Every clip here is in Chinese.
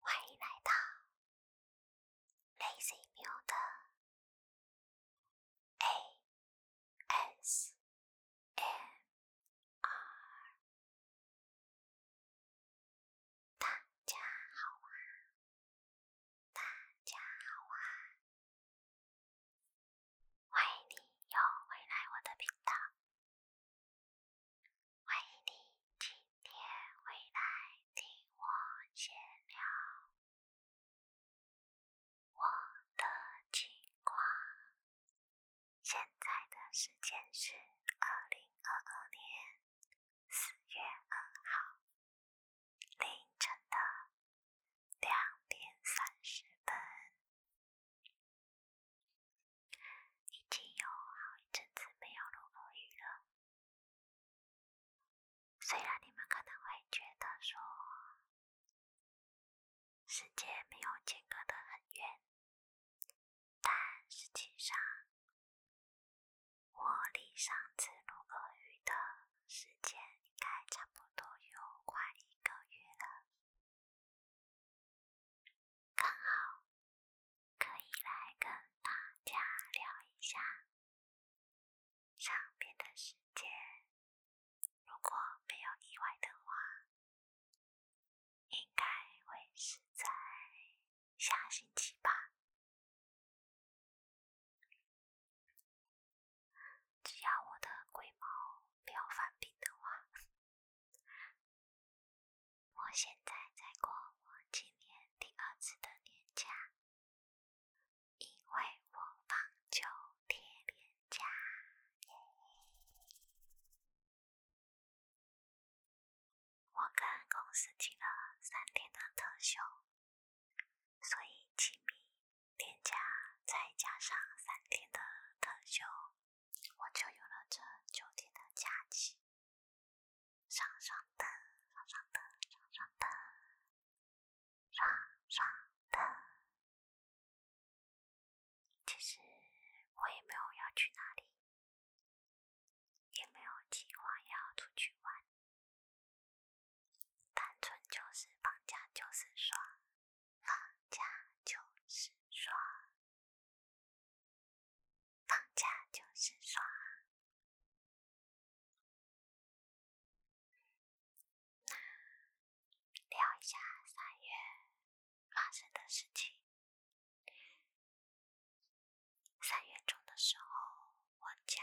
欢迎来到 LazyMute ASMR，大家好啊！大家好啊，欢迎你又回来我的频道，欢迎你今天回来听我闲聊我的情况。现在的时间是二零二二年。四月二号凌晨的两点三十分，已经有好一阵子没有了。虽然你们可能会觉得说时间没有间隔得很远，但实际上。我离上次录口语的时间，应该差不多有快一个月了，刚好可以来跟大家聊一下。上边的时间，如果没有意外的话，应该会是在下星期吧。只要我的龟毛不要犯病的话，我现在在过我今年第二次的年假，因为我放九天年假耶。我跟公司请了三天的特休。所以，请明、天假再加上三天的特休，我就有了这九天的假期。爽爽的，爽爽的，爽爽的，爽爽的。其实我也没有要去哪里，也没有计划要出去玩。单纯就是放假就是爽，放假就是爽，放假就是爽。那聊一下三月发生的事情。三月中的时候，我家。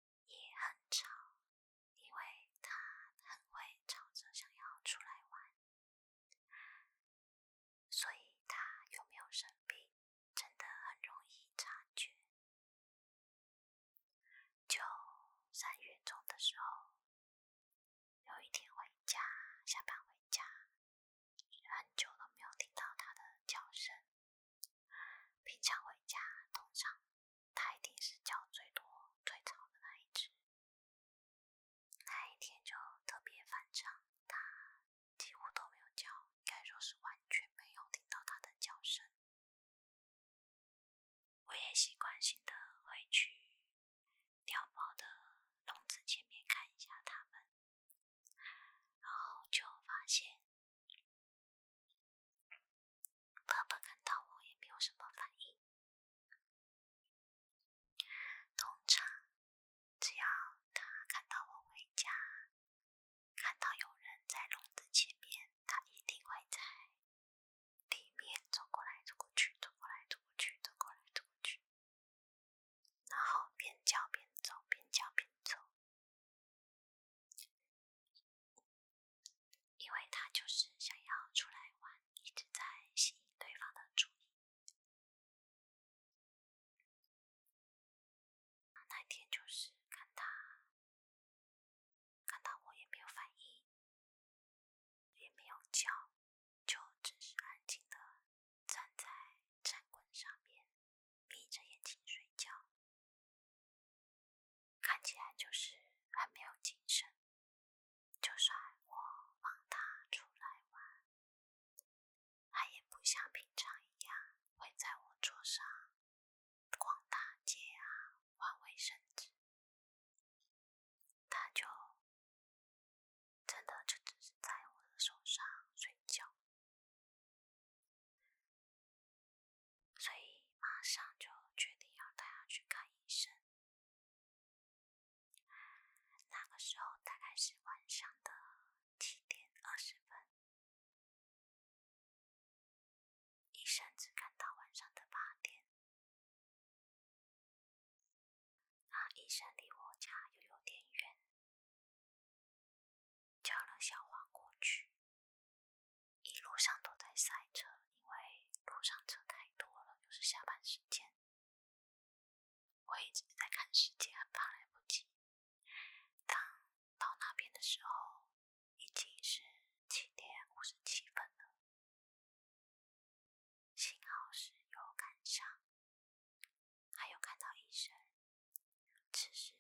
也很吵，因为他很会吵着想要出来玩，所以他有没有生病真的很容易察觉。就三月中的时候，有一天回家下班回家，很久都没有听到他的叫声。平常回家通常。它一定是叫最多、最吵的那一只。那一天就特别反常，它几乎都没有叫，应该说是完全没有听到它的叫声。我也习惯性的会去鸟宝的笼子前面看一下它们，然后就发现。爸爸看到我也没有什么反应。通常，只要他看到我回家，看到有人在笼子前面，他一定会在地面走过来走过去，走过来走过去，走过来走过去，然后边叫边走，边叫边走。因为他就是想要出来玩，一直在吸引对方的注意那天就是看他看到我也没有反应，也没有叫，就只是安静的站在战棍上面，闭着眼睛睡觉。看起来就是很没有精神。就算我放他出来玩，他也不像平常一样会在我桌上逛大街啊、玩卫生纸。他就真的就只是在我的手上睡觉。所以马上就决定要带他去看医生。那个时候大概是晚上的七点二十分，医生只看到晚上的八点。啊，医生离我家又有点远，叫了小黄过去。一路上都在塞车，因为路上车太多了，又是下班时间。我一直在看时间，怕来不及。当到那边的时候，已经是七点五十七分了。幸好是有赶上，还有看到医生。只是，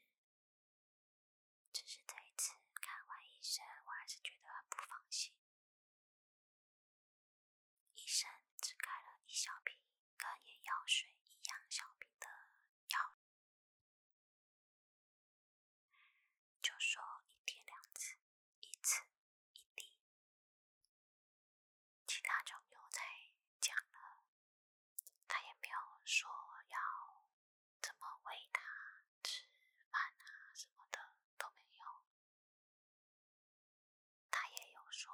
只是这一次看完医生，我还是觉得很不放心。医生只开了一小瓶跟眼药水一样小瓶的药，就说一天两次，一次一滴，其他就没有再讲了。他也没有说要。怎么喂他吃饭啊什么的都没有，他也有说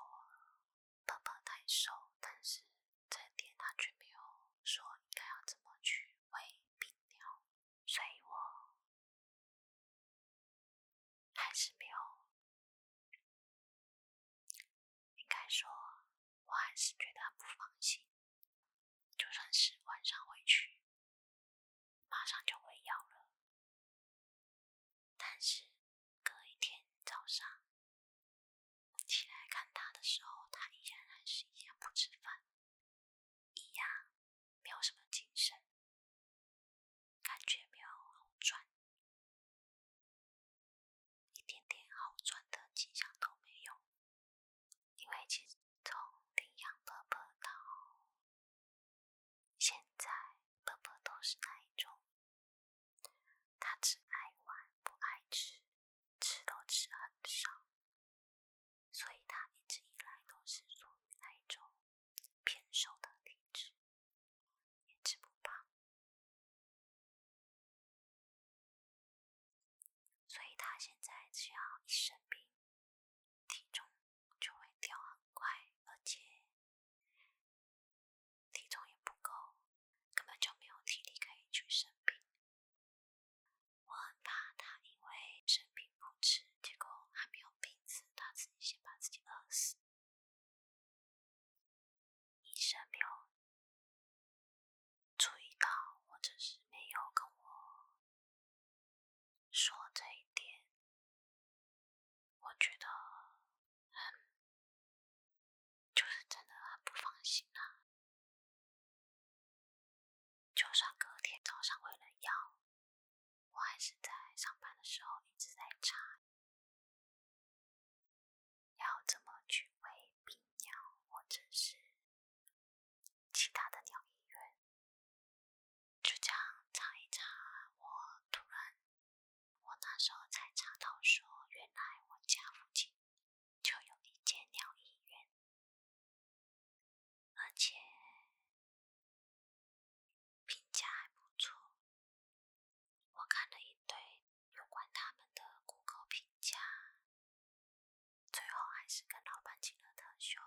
宝宝太瘦，但是这点他却没有说应该要怎么去喂病鸟，所以我还是没有，应该说，我还是觉得不放心。就算是晚上回去，马上就会要了。但是隔一天早上起来看他的时候，他依然是一样不吃饭，一样没有什么精神，感觉没有好转，一点点好转的迹象都没有。因为其实从领养婆婆到现在，婆婆都是那一种，他只爱玩不爱吃，吃都吃很少，所以他一直以来都是属于那一种偏瘦的体质，也吃不胖。所以他现在只要一生病。体重就会掉很快，而且体重也不够，根本就没有体力可以去生病。我很怕他因为生病不吃，结果还没有病死，他自己先把自己饿死。医生没有注意到，或者是没有跟我。说这一点，我觉得很，就是真的很不放心啊。就算隔天早上为了药，我还是在上班的时候一直在查，要怎么去喂病药，或者是。其他的鸟医院，就这样查一查。我突然，我那时候才查到说，原来我家附近就有一间鸟医院，而且评价还不错。我看了一堆有关他们的顾客评价。最后还是跟老板请了特休，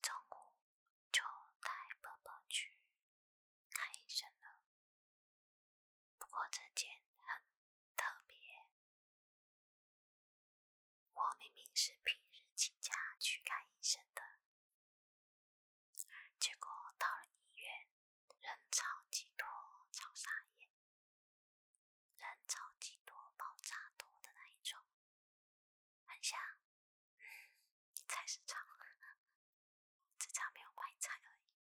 中午就带伯伯去看医生了。不过这件很特别，我明明是平日请假去看医生的，结果到了医院人超级多，超傻眼。人超级多，爆炸多的那一种，很像菜市场，只差没有卖菜而已。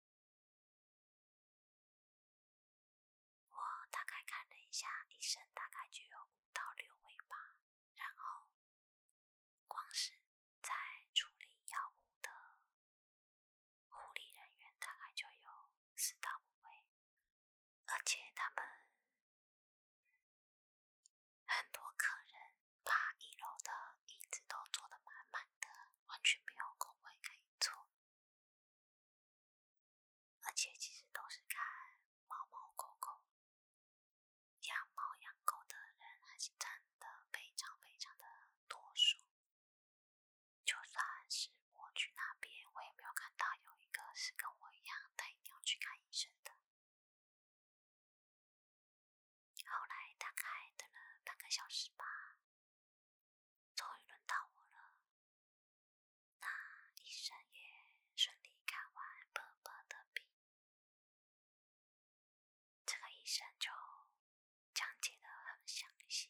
我大概看了一下，医生大概就有五到六位吧，然后光是在处理药物的护理人员大概就有四到五位。而且他们很多客人把一楼的椅子都坐得满满的，完全没有空位可以坐。而且其实都是看猫猫狗狗，养猫养狗的人还是真的非常非常的多数。就算是我去那边，我也没有看到有。一个是跟我一样，他一定要去看医生的。后来大概等了半个小时吧，终于轮到我了。那医生也顺利看完婆婆的病。这个医生就讲解的很详细，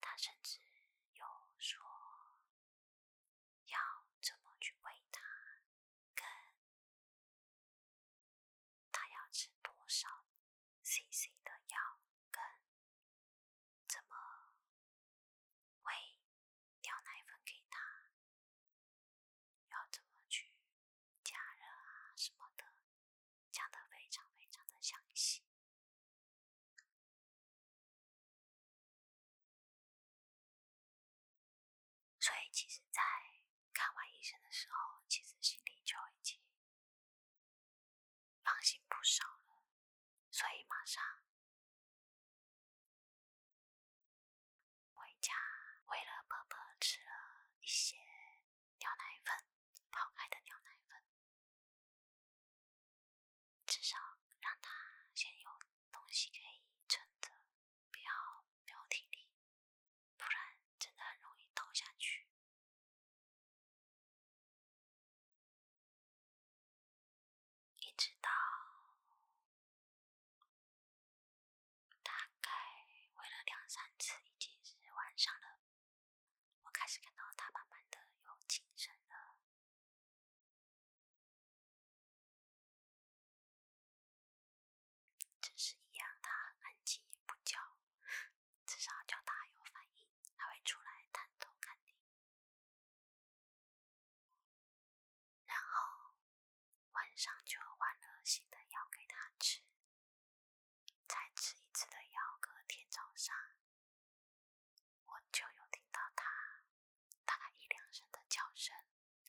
他甚至有说。要怎么去喂它，跟它要吃多少 cc 的药，跟怎么喂掉奶粉给它，要怎么去加热啊什么的，讲的非常非常的详细。所以其实，在看完医生的时候，其实心里就已经放心不少了。所以马上回家，为了宝宝吃了一些牛奶粉，泡开的牛奶粉。至少让他先有东西可以撑着，不要没有体力，不然真的很容易倒下去。一直到大概喂了两三次，已经是晚上了，我开始看到他慢慢的有精神了。只是一样，他很安静也不叫，至少叫他有反应，还会出来探头看你。然后晚上就换了新的药给他吃，再吃一次的药，隔天早上。我就有听到他，大概一两声的叫声，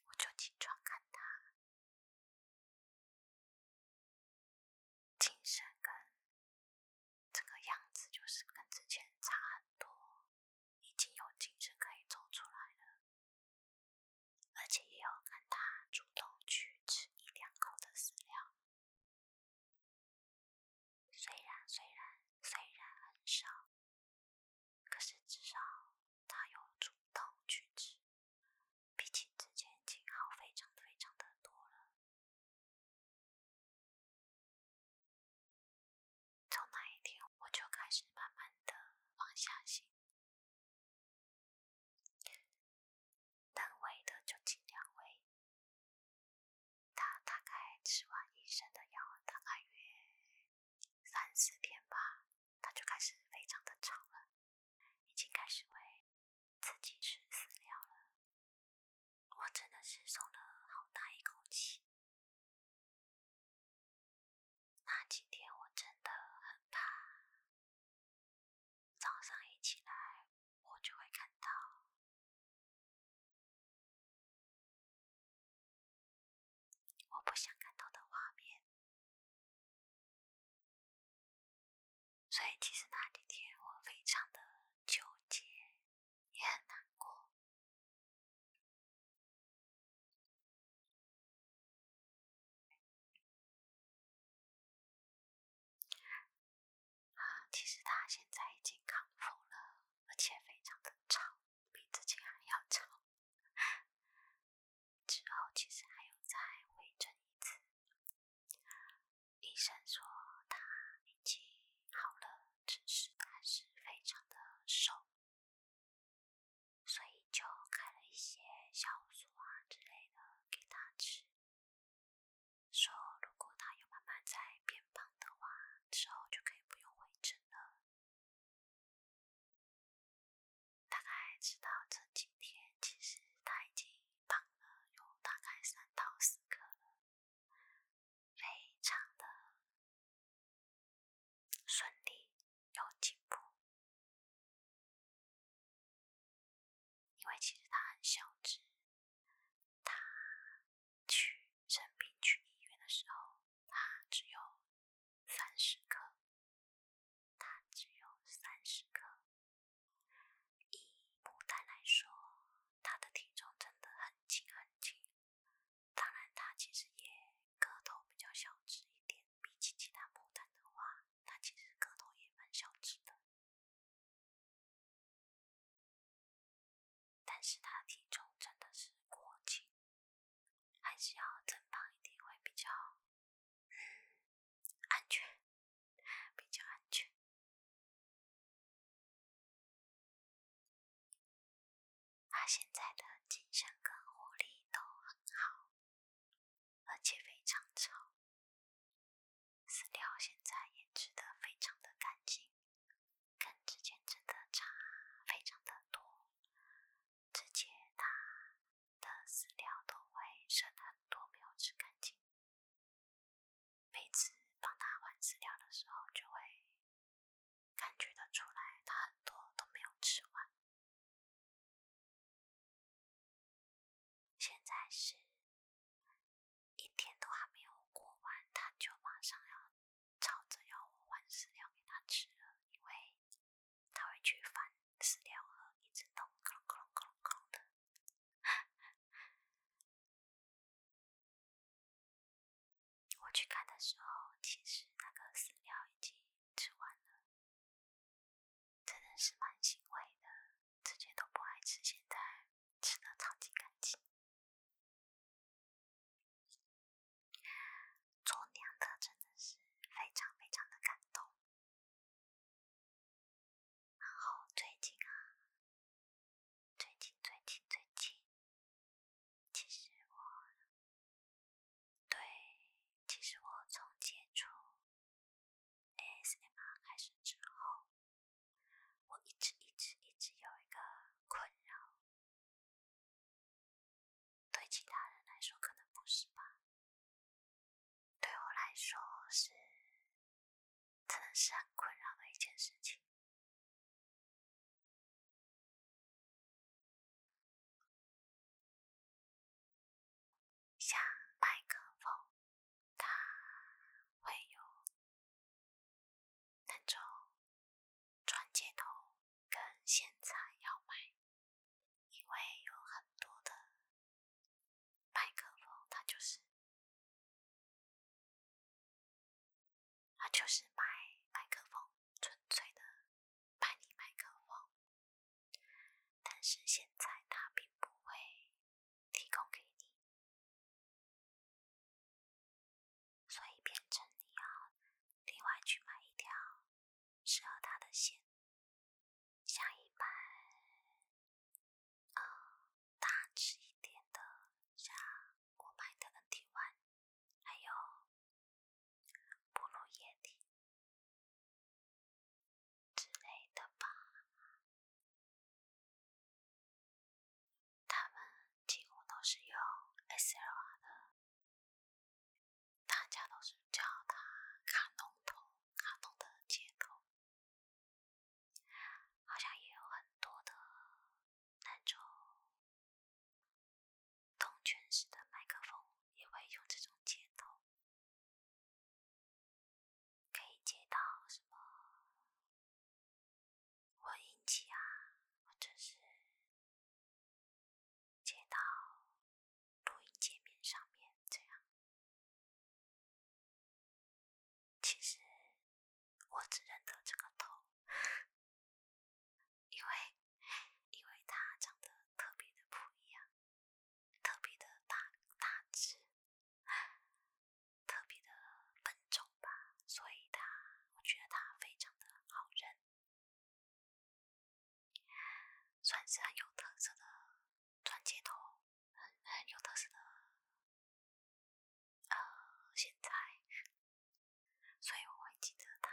我就起床看他。精神跟这个样子就是跟之前差很多，已经有精神可以走出来了，而且也有看他主动去吃一两口的饲料。虽然虽然虽然很少，可是至少他有主动去吃，比起之前经好非常非常的多了。从那一天我就开始慢慢的放下心，喂的就尽量喂，他大概吃完医生的药，大概约。三四天吧，它就开始非常的长了，已经开始喂自己吃饲料了。我真的是松了好大一口气。那几天我真的很怕，早上一起来我就会看到。我不想看到的画面，所以其实那几天我非常的纠结，也很难过。其实他现在已经康复了，而且非常的超。比之前还要长，之后其实还有再回诊一次。医生说他已经好了，只是还是非常的瘦，所以就开了一些消瘦啊之类的给他吃，说如果他有慢慢在变胖的话，之后就可以不用回诊了。大概知道这几天，其实他已经绑了有大概三到四个了，非常的顺利，有进步。因为其实他很小只，他。去生病去医院的时候，他只有三十克，他只有三十克。以牡丹来说，他的体重真的很轻很轻。当然，他其实也个头比较小只一点，比起其他牡丹的话，他其实个头也蛮小只的。但是它体重真的是过轻，还是要增胖一点会比较安全，比较安全。它现在的精神跟活力都很好，而且非常丑。饲料现在也吃得非常的干净。跟之前真的差非常的多，之前他的饲料都会剩的多，没有吃干净。每次帮他换饲料的时候，就会感觉的出来，他很多都没有吃完。现在是一天都还没有过完，他就马上要。吵着要我换饲料给它吃了，因为它会去翻饲料盒，一直动，咯隆咯咯咯的。我去看的时候，其实那个饲料已经吃完了，真的是蛮欣慰的。之前都不爱吃，现在吃的超级干净。做娘的真的是非常非常的感动。然后最近啊，最近最近最近，其实我对，其实我从接触 ASMR 开始之后，我一直一直一直有一个困扰。对其他人来说可能不是吧，对我来说是真的是很困扰的一件事情。像麦克风，它会有。那种转接头跟现在要买，因为有很多的麦克风，它就是它就是买麦克风，纯粹的卖你麦克风，但是现在它并不会提供给你。所以变成你要另外去买一条适合他的线，像一般啊大只一点的，像我买的 NTY，还有布鲁液体之类的吧，他们几乎都是用 SLR 的。大家都是叫它卡侬头、卡通的接头，好像也有很多的那种动圈式的麦克风也会用这种接头，可以接到什么混音器啊，或者是。接到录音界面上面，这样。其实我只认得这个头，因为因为他长得特别的不一样，特别的大大只，特别的笨重吧，所以他我觉得他非常的好认。算是很有特色的转接头，很很有特色的。呃，现在，所以我会记得它。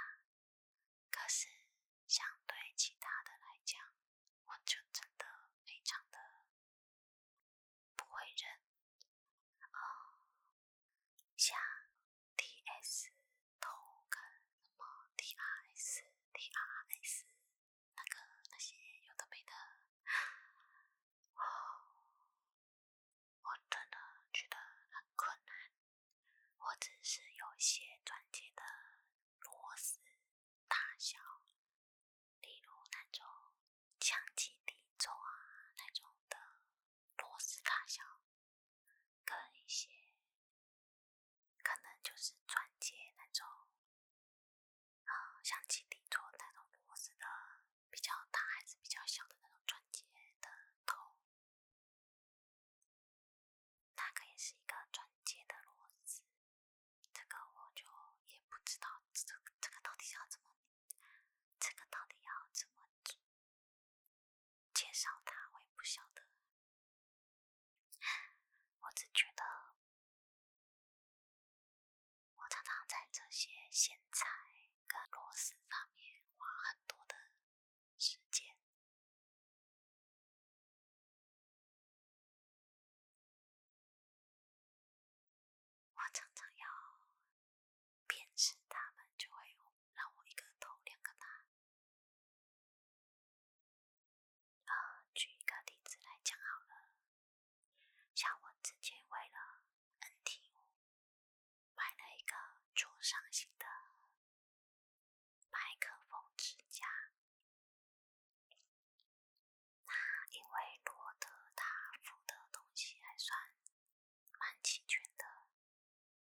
可是，相对其他的来讲，我就真的非常的不会认啊。像 T.S. 那个，那么 T.R.S. T.R.S. 那个那些有的没的，我我真的觉得很困难。我只是有一些钻戒的螺丝大小，例如那种镶金底座啊那种的。螺丝大小，跟一些可能就是钻戒那种，嗯，像基底座那种螺丝的比较大还是比较小的那种钻戒的头，那个也是一个钻戒的螺丝。这个我就也不知道，这这个到底要怎么，这个到底要怎么？做。介绍他，我也不晓得。我只觉得，我常常在这些咸菜跟螺丝上面花很多的时间。我常常要。便是他们就会让我一个头两个大。啊，举一个例子来讲好了，像我之前为了 n t 五买了一个桌上型的麦克风支架，那因为罗德大幅的东西还算。蛮齐全的，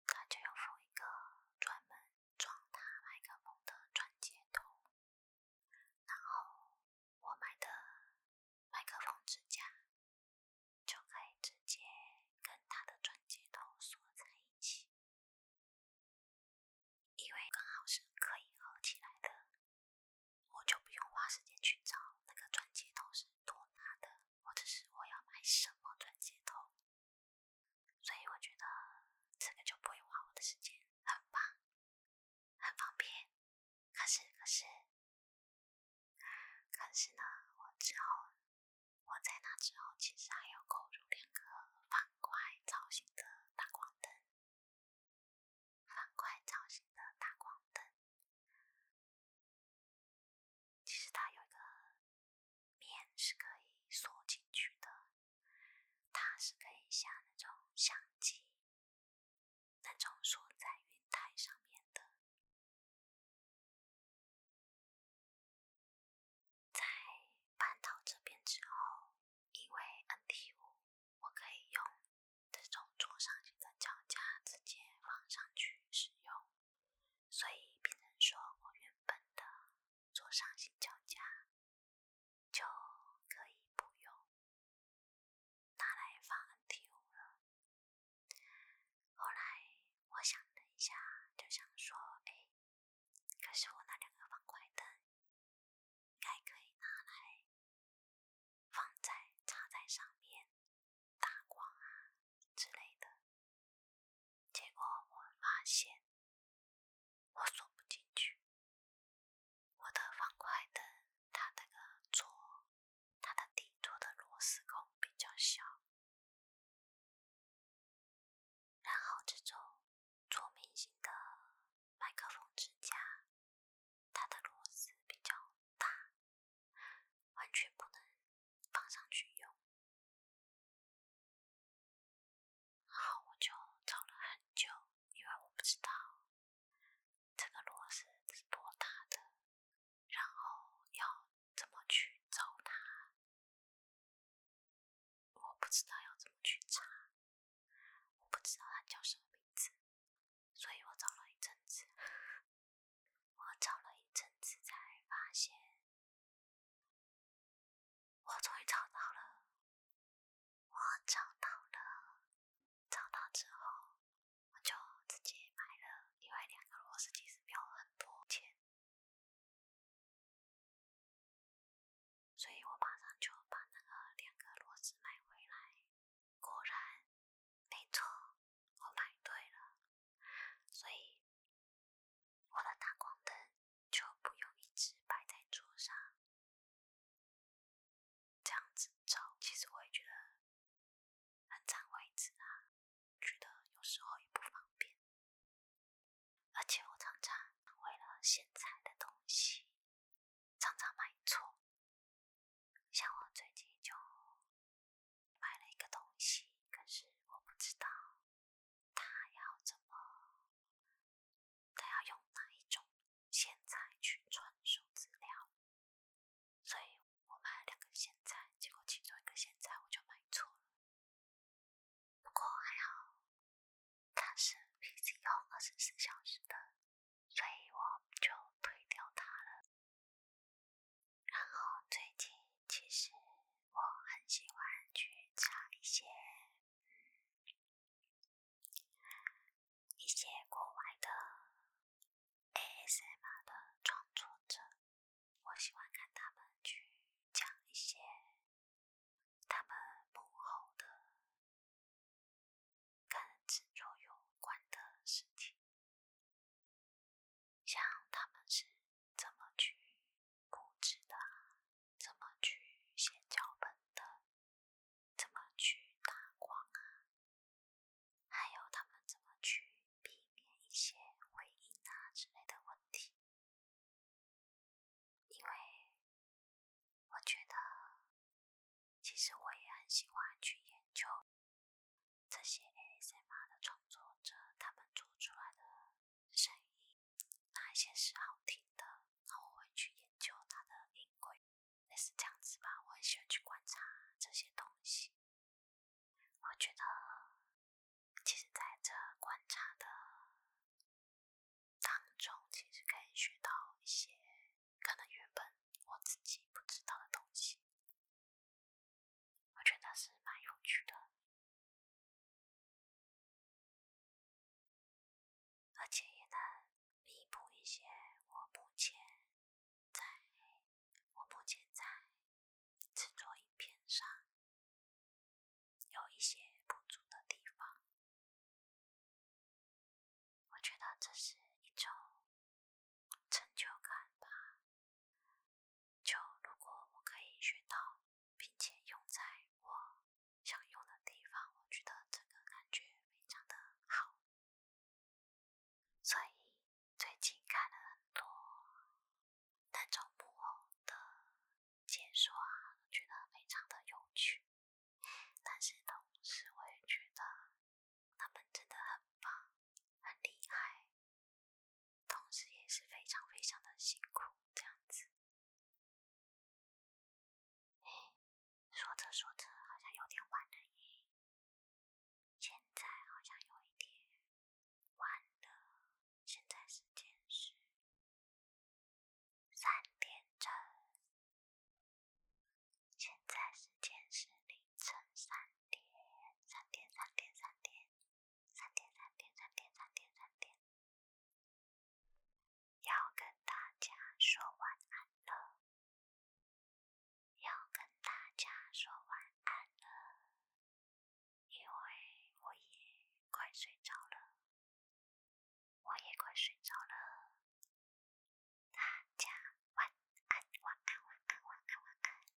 他就有附一个专门装他麦克风的转接头，然后我买的麦克风支架就可以直接跟他的转接头锁在一起，因为刚好是可以合起来的，我就不用花时间去找那个转接头是多大的。或者是我要买什么转接头，所以我觉得这个就不会花我的时间，很棒，很方便。可是，可是，可是呢，我之后，我在那之后，其实还要购入两个方块造型的大光灯，方块造型的大光灯。其实它有一个面是可以锁进去的，它是可以像那种相机那种锁在云台上面的。在搬到这边之后，因为 NT5，我可以用这种桌上型的脚架直接放上去使用。所以别人说我原本的左上行脚架就可以不用拿来放 NTU 了。后来我想了一下，就想说，哎，可是我那两个方块灯该可以拿来放在插在上面。打光啊之类的，结果我发现我锁不进去。我的方块的，它那个座，它的底座的螺丝孔比较小。然后这种做明星的麦克风支架，它的螺丝比较大，完全不能。放上去用，然后我就找了很久，因为我不知道这个螺丝是多大的，然后要怎么去找它，我不知道要怎么去查，我不知道它叫什么名字，所以我找了一阵子。我找了一阵子，才发现我终于找到了。我找到了，找到之后我就自己买了，因为两个螺丝其实没有很多钱，所以我马上就把那个两个螺丝买回来。果然，没错，我买对了。所以，我的打光灯就不用一直摆在桌上这样子照。其实我也觉得很占位置啊，觉得有时候也不方便。而且我常常为了现在的东西，常常买错。像我最近就。买了一个东西，可是我不知道他要怎么，他要用哪一种线材去穿数字料，所以我买了两个线材，结果其中一个线材我就买错了。不过还好，它是 P C O 二十四小时的，所以我就推掉它了。然后最近其实我很喜欢去查一些一些国外的 ASMR 的创作者，我喜欢看他们去讲一些他们幕后的跟制作有关的事情。像他们是怎么去布置的，怎么去写脚本的，怎么去打光啊，还有他们怎么去避免一些回音啊之类的问题。因为我觉得，其实我也很喜欢去研究这些 ASMR 的创作者，他们做出来的。声音哪一些是好听的，那我会去研究它的音轨，类似这样子吧。我很喜欢去观察这些东西，我觉得其实在这观察的当中，其实可以学到一些可能原本我自己不知道的东西。我觉得是蛮有趣的，而且也能弥补一些我目前在我目前在制作影片上有一些不足的地方。我觉得这是一种成就感吧。就如果我可以学到，并且用在我想用的地方，我觉得这个感觉非常的好。所以最近看了很多那种木偶的解说啊，我觉得非常的有趣。但是同时我也觉得他们真的很棒，很厉害。同时也是非常非常的辛苦，这样子。哎，说着说着好像有点晚了耶。现在好像有一点晚了。现在时间是三点整。现在时间是凌晨三点。三点，三点，三点。三点三点三点三点三点，要跟大家说晚安了，要跟大家说晚安了，因为我也快睡着了，我也快睡着了，大家晚安晚安晚安晚安晚安。